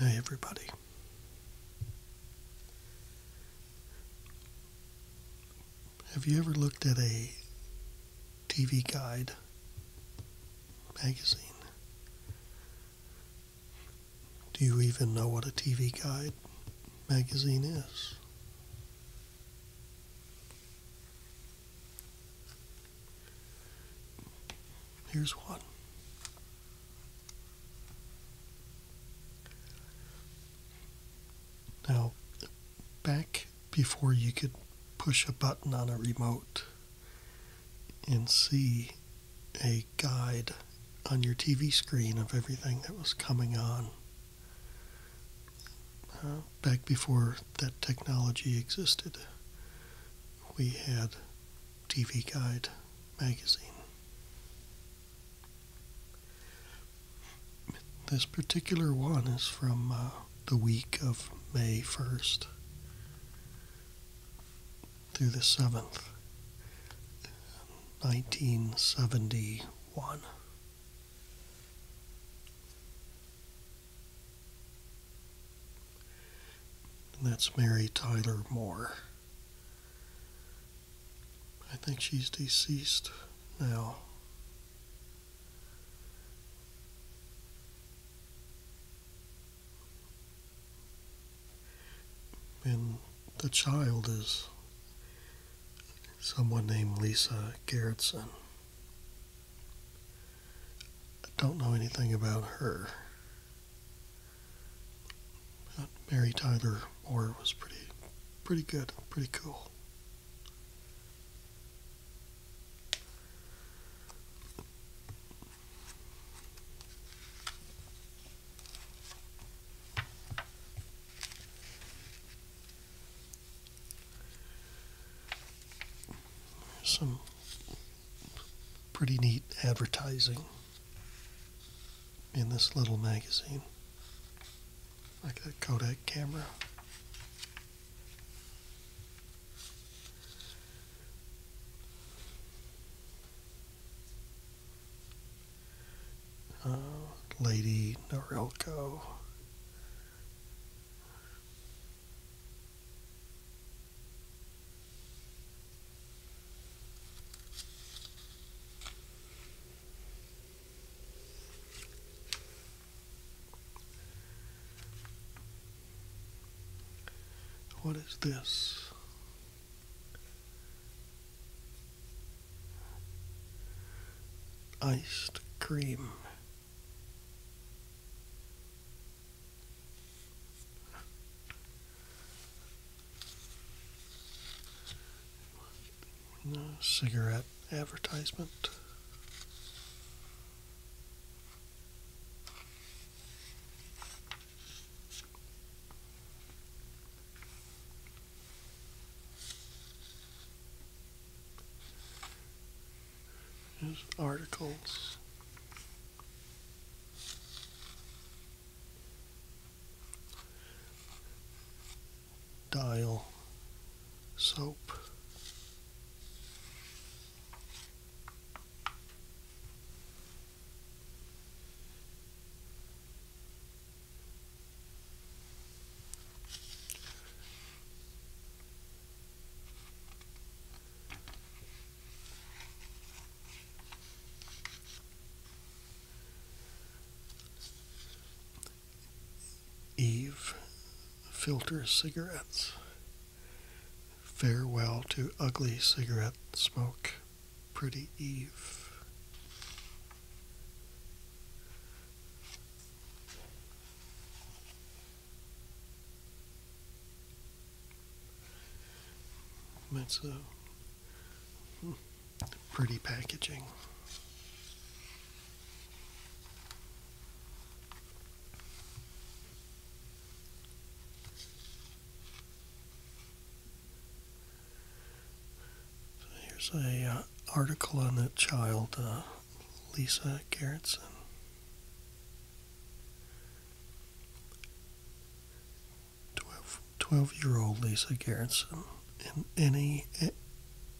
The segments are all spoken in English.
Hey, everybody. Have you ever looked at a TV guide magazine? Do you even know what a TV guide magazine is? Here's one. Now, back before you could push a button on a remote, and see a guide on your TV screen of everything that was coming on uh, back before that technology existed. We had TV Guide magazine. This particular one is from uh, the week of May 1st through the 7th, 1971. And that's Mary Tyler Moore. I think she's deceased now. And the child is someone named Lisa Gerritsen. I don't know anything about her. Mary Tyler Moore was pretty pretty good, pretty cool some pretty neat advertising in this little magazine, like that Kodak camera. Uh, Lady Norelco. What is this? Iced cream. cigarette advertisement. There's articles. Dial soap. Eve filters cigarettes Farewell to ugly cigarette smoke, pretty Eve. That's a hmm, pretty packaging. So here's a uh, article on that child, uh, Lisa Gerritsen. 12 year Twelve-year-old Lisa Gerritsen, an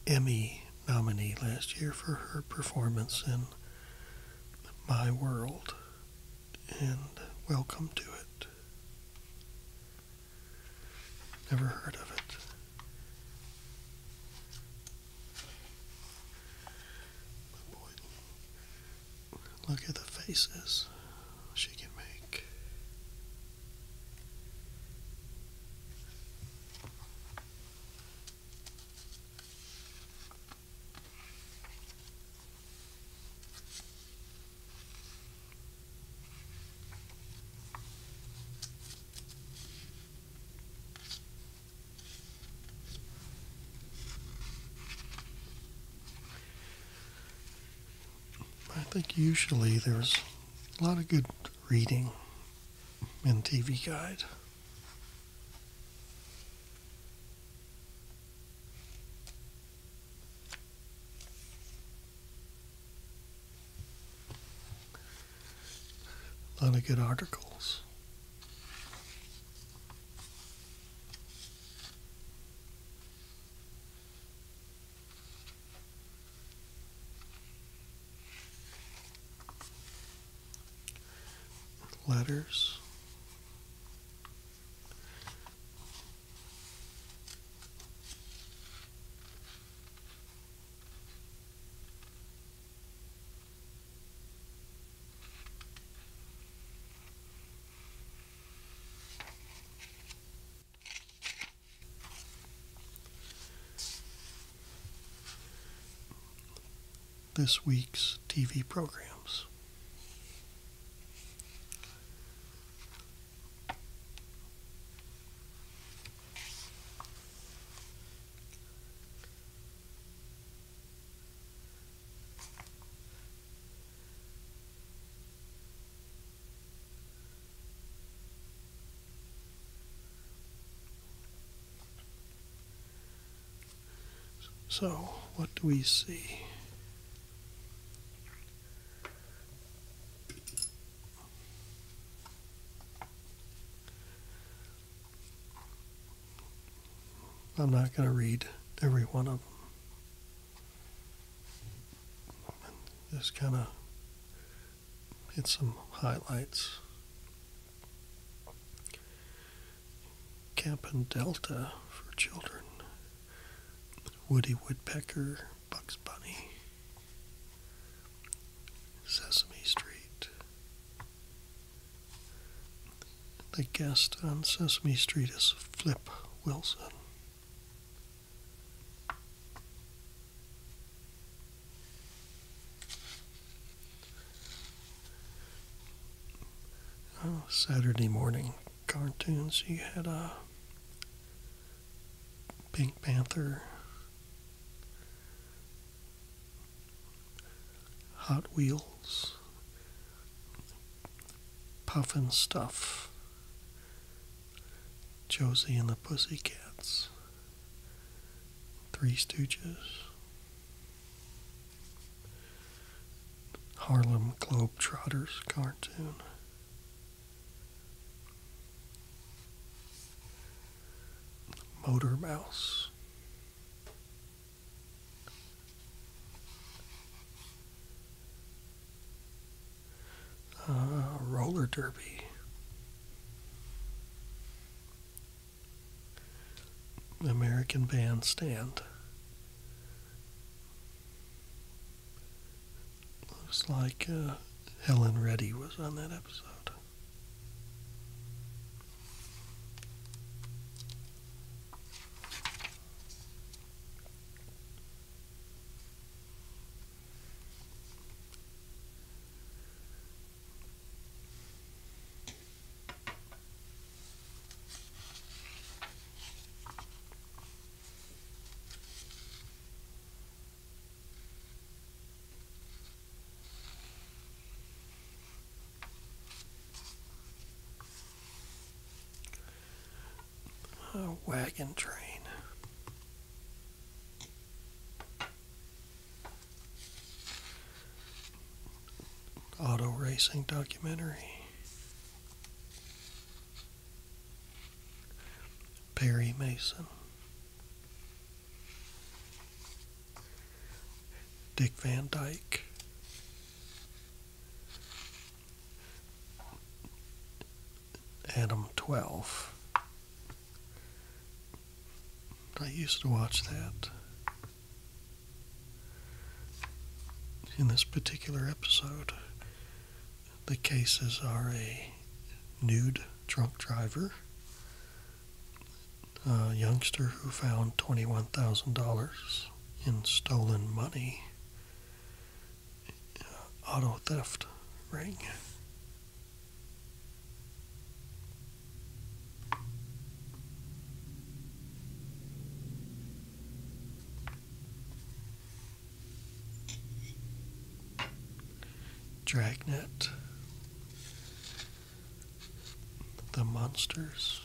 Emmy nominee last year for her performance in My World and welcome to it. Never heard of it. Look at the faces she can make. I think usually there's a lot of good reading in TV Guide. A lot of good articles letters this week's TV programs. So, what do we see? I'm not going to read every one of them. Just kind of hit some highlights. Camp Cap'n Delta for children, Woody Woodpecker, Bugs Bunny, Sesame Street. The guest on Sesame Street is Flip Wilson. Oh, Saturday morning cartoons. You had a uh, Pink Panther, Hot Wheels, Puffin Stuff, Josie and the Pussycats, Three Stooges. Harlem Globetrotters cartoon. Motor Mouse. Uh, roller derby. American Bandstand. Looks like uh, Helen Reddy was on that episode. A wagon train auto racing documentary. Perry Mason. Dick Van Dyke. Adam 12. I used to watch that. In this particular episode, the cases are a nude drunk driver, a youngster who found $21,000 in stolen money, uh, auto theft ring. Dragnet, The Monsters,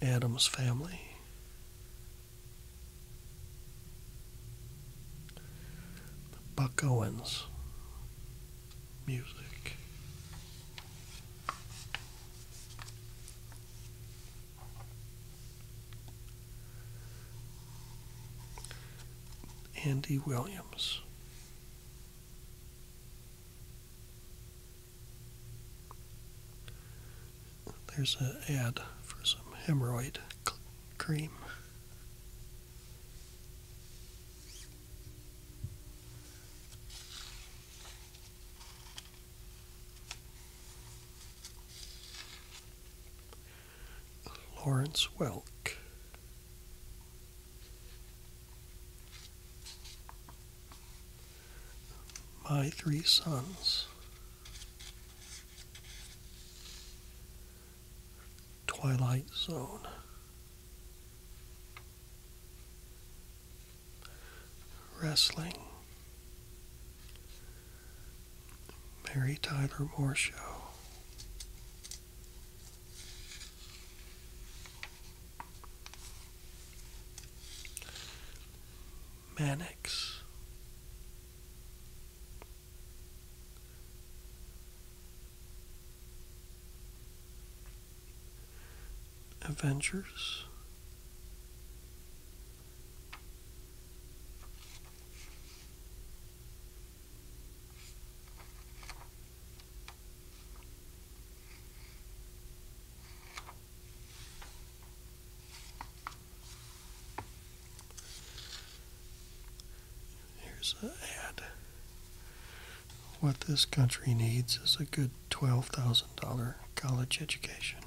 Adam's Family, Buck Owens music. Andy Williams. There's an ad for some hemorrhoid cream. Lawrence Welk. My Three Sons. Twilight Zone. Wrestling. Mary Tyler Moore Show. Mannix. Avengers. Here's an ad. What this country needs is a good $12,000 college education.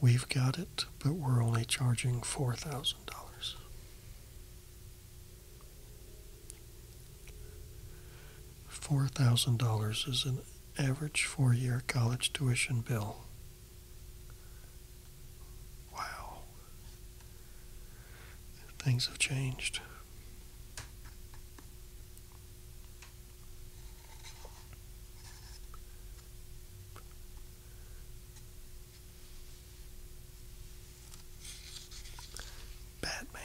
We've got it, but we're only charging $4,000. $4,000 is an average four year college tuition bill Wow. Things have changed. Batman,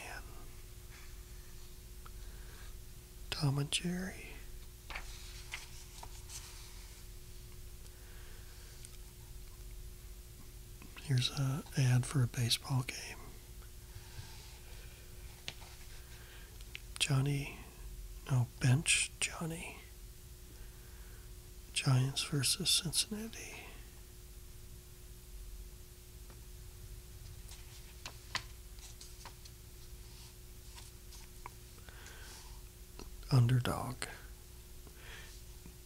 Tom and Jerry. Here's an ad for a baseball game. Johnny, no, bench Johnny. Giants versus Cincinnati. Underdog.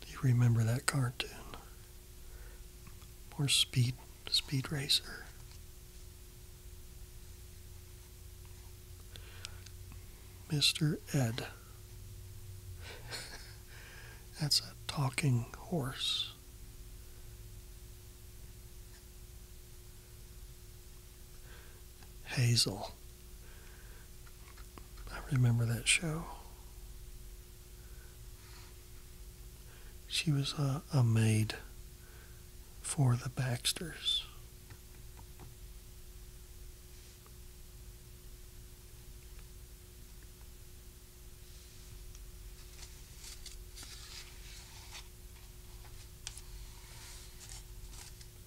You remember that cartoon? Or Speed Speed Racer. Mr. Ed. That's a talking horse. Hazel. I remember that show. She was a, a maid for the Baxters.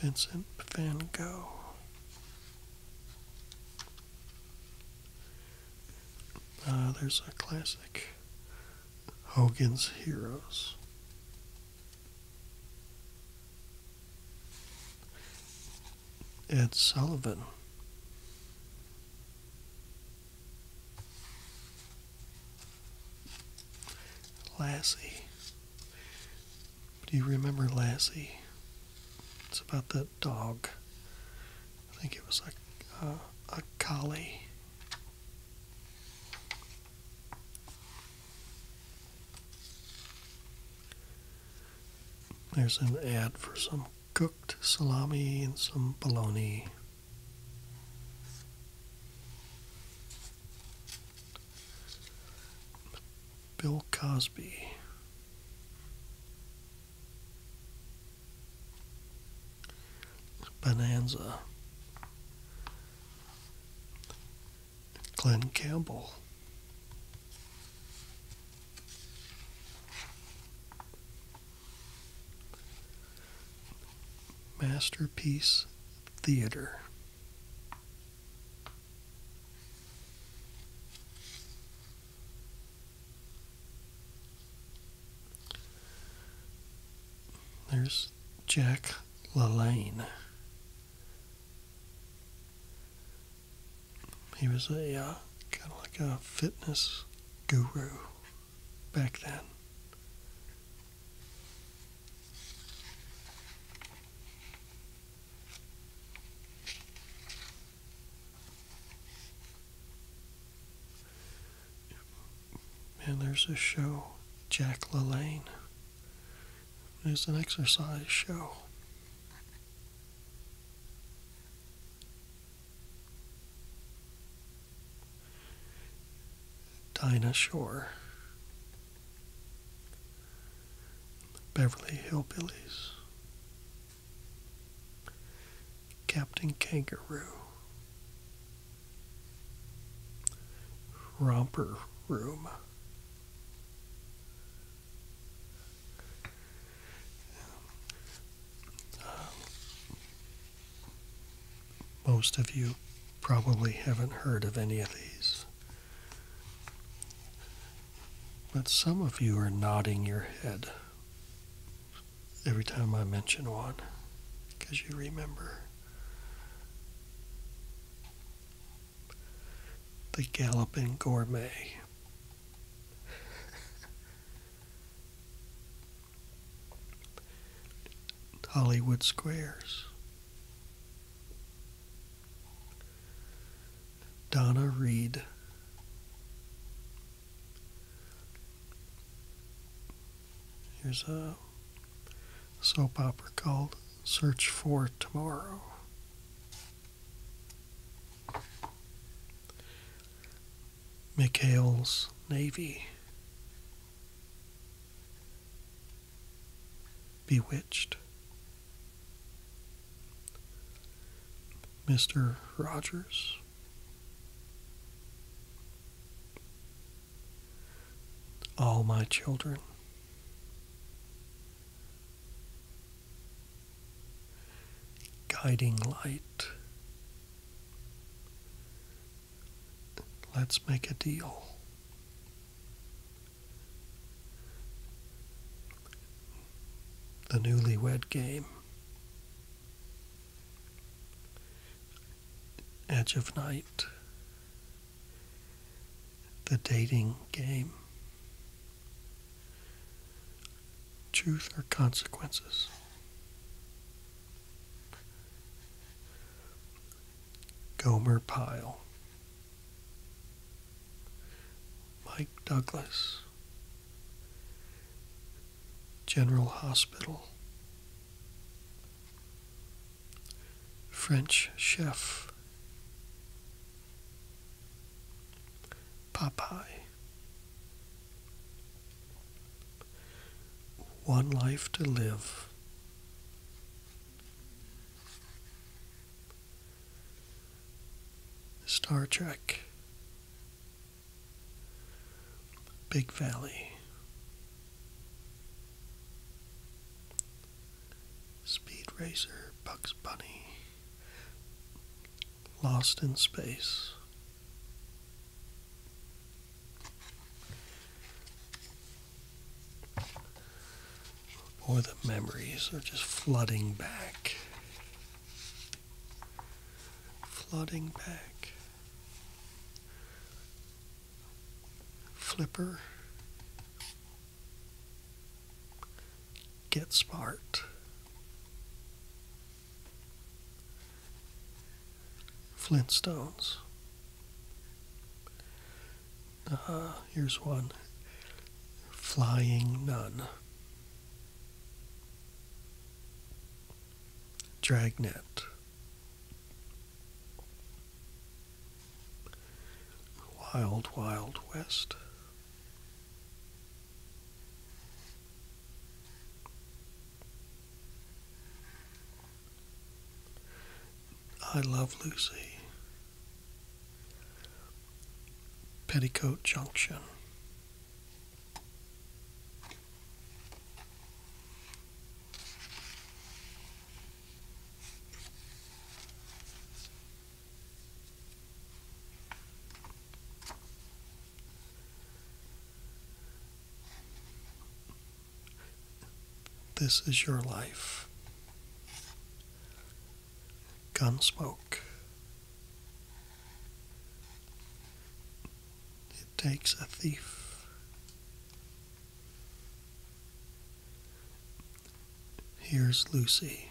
Vincent Van Gogh. Uh, there's a classic Hogan's Heroes. Ed Sullivan. Lassie. Do you remember Lassie? It's about that dog. I think it was a, a collie. There's an ad for some cooked salami and some bologna. Bill Cosby. Bonanza. Glenn Campbell. Masterpiece Theater. There's Jack LaLanne. He was a uh, kind of like a fitness guru back then. Man, there's a show, Jack LaLanne. It's an exercise show. Dinah Shore. Beverly Hillbillies, Captain Kangaroo, Romper Room. most of you probably haven't heard of any of these. But some of you are nodding your head every time I mention one because you remember. The Galloping Gourmet. Hollywood Squares. Donna Reed. Here's a soap opera called Search for Tomorrow. Mikhail's Navy. Bewitched. Mr. Rogers. All my children. Guiding light. Let's make a deal the newlywed game. Edge of Night, The Dating Game, Truth or Consequences, Gomer Pyle. Mike Douglas, General Hospital, French Chef, Popeye, One Life to Live. Star Trek, Big Valley, Speed Racer, Bugs Bunny, Lost in Space or the memories are just flooding back. Flooding back. Flipper. Get smart. Flintstones. Ah, here's one Flying Nun, Dragnet, Wild Wild West. I love Lucy. Petticoat Junction. This is your life. Gun smoke. It takes a thief. Here's Lucy.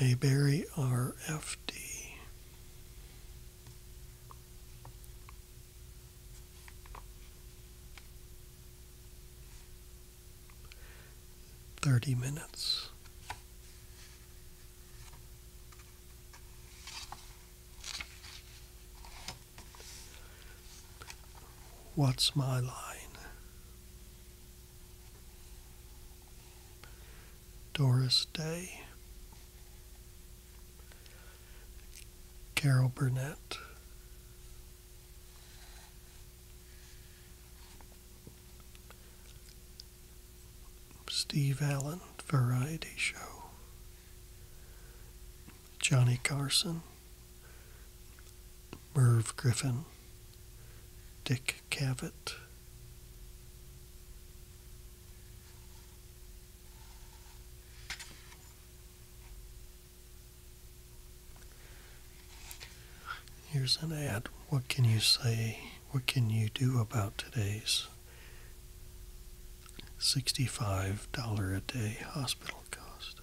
Mayberry RFD. Thirty minutes. What's my line? Doris Day, Carol Burnett, Steve Allen Variety Show, Johnny Carson. Merv Griffin, Dick Cavett. Here's an ad. What can you say? What can you do about today's $65 a day hospital cost?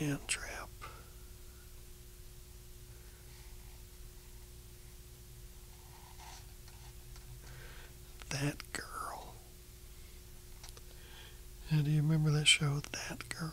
Man trap. That girl. And do you remember that show, That Girl?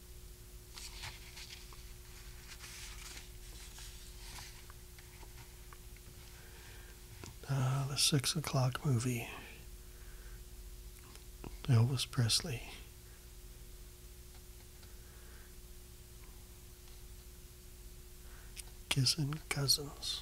Ah, the six o'clock movie. Elvis Presley. Kissing Cousins.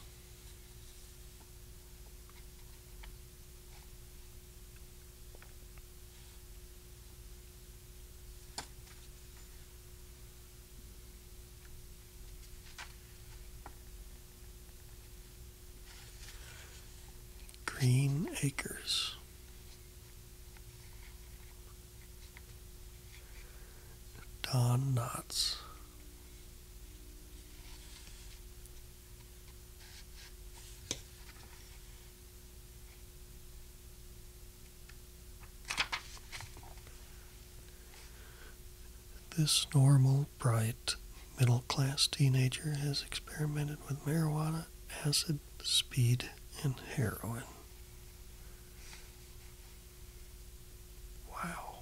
Green Acres. Don Knotts. This normal, bright, middle class teenager has experimented with marijuana, acid, speed, and heroin. Wow.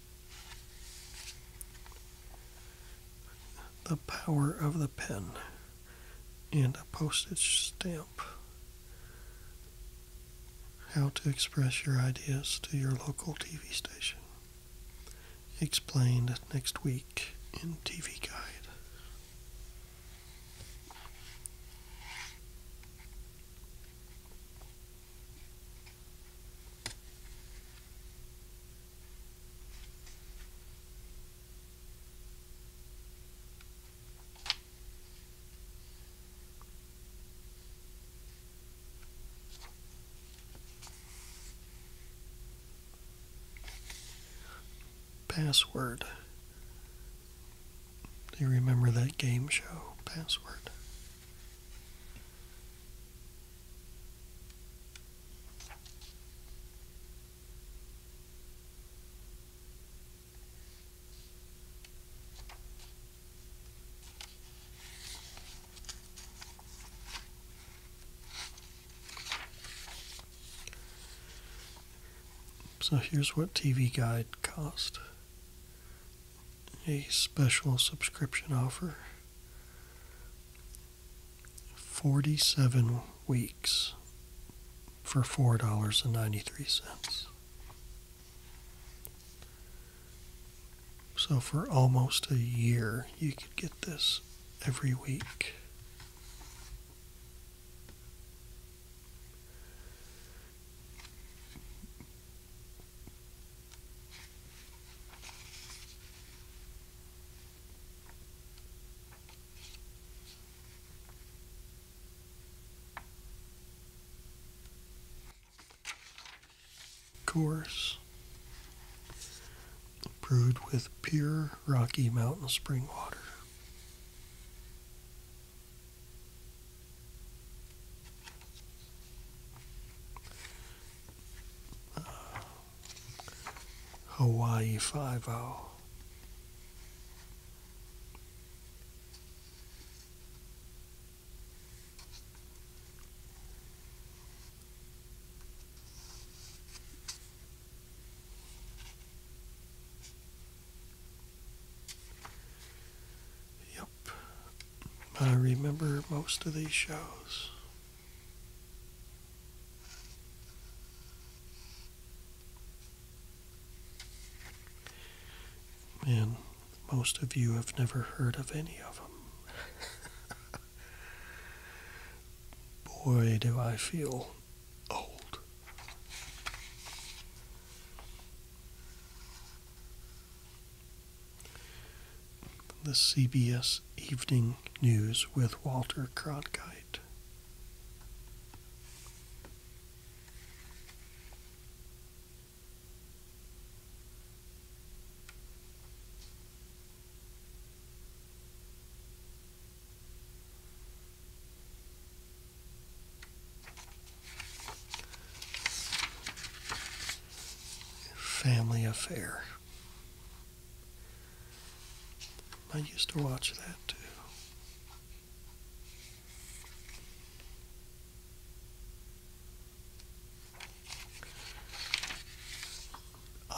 The power of the pen and a postage stamp. How to express your ideas to your local TV station. Explained next week in TV Guide. Password. Do you remember that game show, Password? So here's what TV Guide cost a special subscription offer 47 weeks for $4.93. So for almost a year, you could get this every week course, brewed with pure Rocky Mountain spring water. Hawaii 5 0. I remember most of these shows. And most of you have never heard of any of them. Boy, do I feel old. The CBS Evening News with Walter Cronkite family affair. I used to watch that too.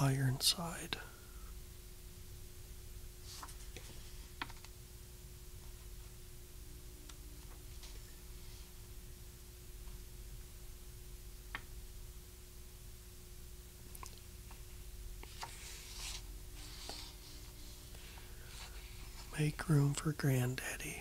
Ironside. Make room for Granddaddy.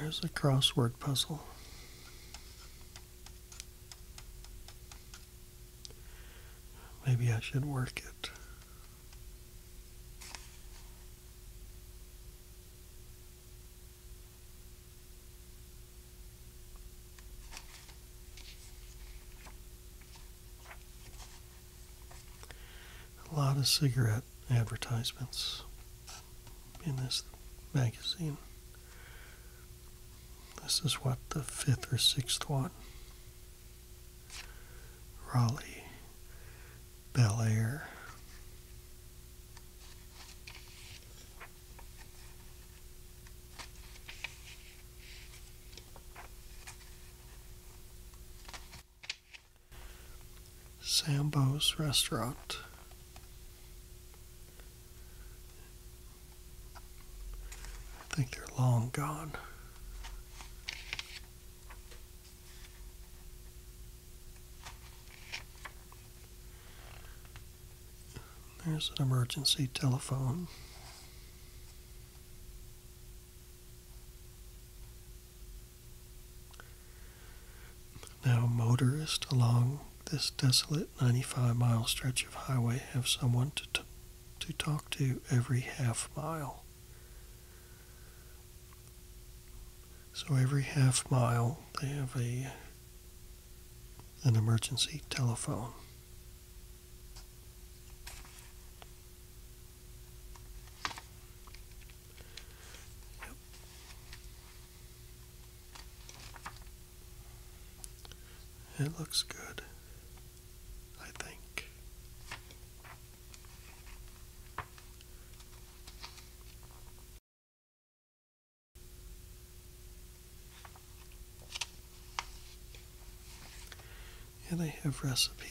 There's a crossword puzzle. Maybe I should work it. A lot of cigarette advertisements in this magazine. This is what the fifth or sixth one. Raleigh, Bel Air. Sambo's Restaurant. I think they're long gone. There's an emergency telephone. Now, motorists along this desolate 95 mile stretch of highway have someone to, to talk to every half mile. So every half mile they have a an emergency telephone. It looks good, I think. And they have recipes.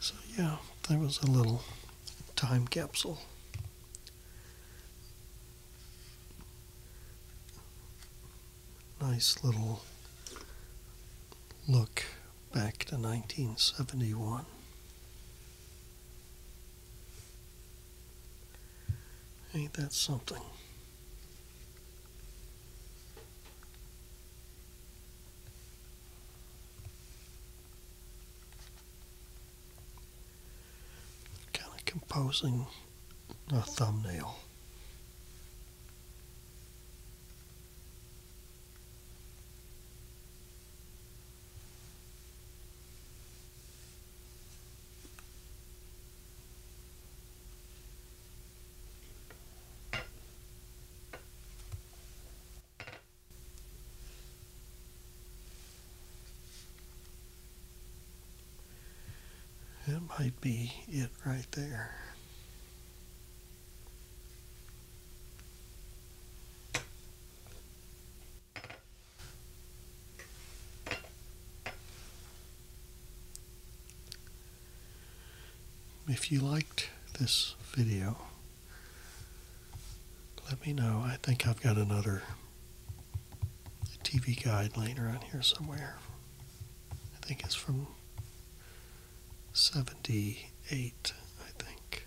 So, yeah, that was a little time capsule. Nice little look back to 1971. Ain't that something? Kind of composing a thumbnail. That might be it right there. If you liked this video, let me know. I think I've got another TV guide laying around here somewhere. I think it's from 78, I think.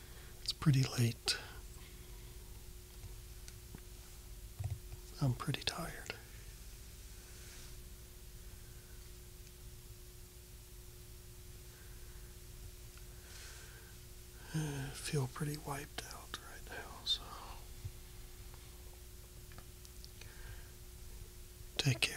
it's pretty late. I'm pretty tired. I feel pretty wiped out right now, so take care.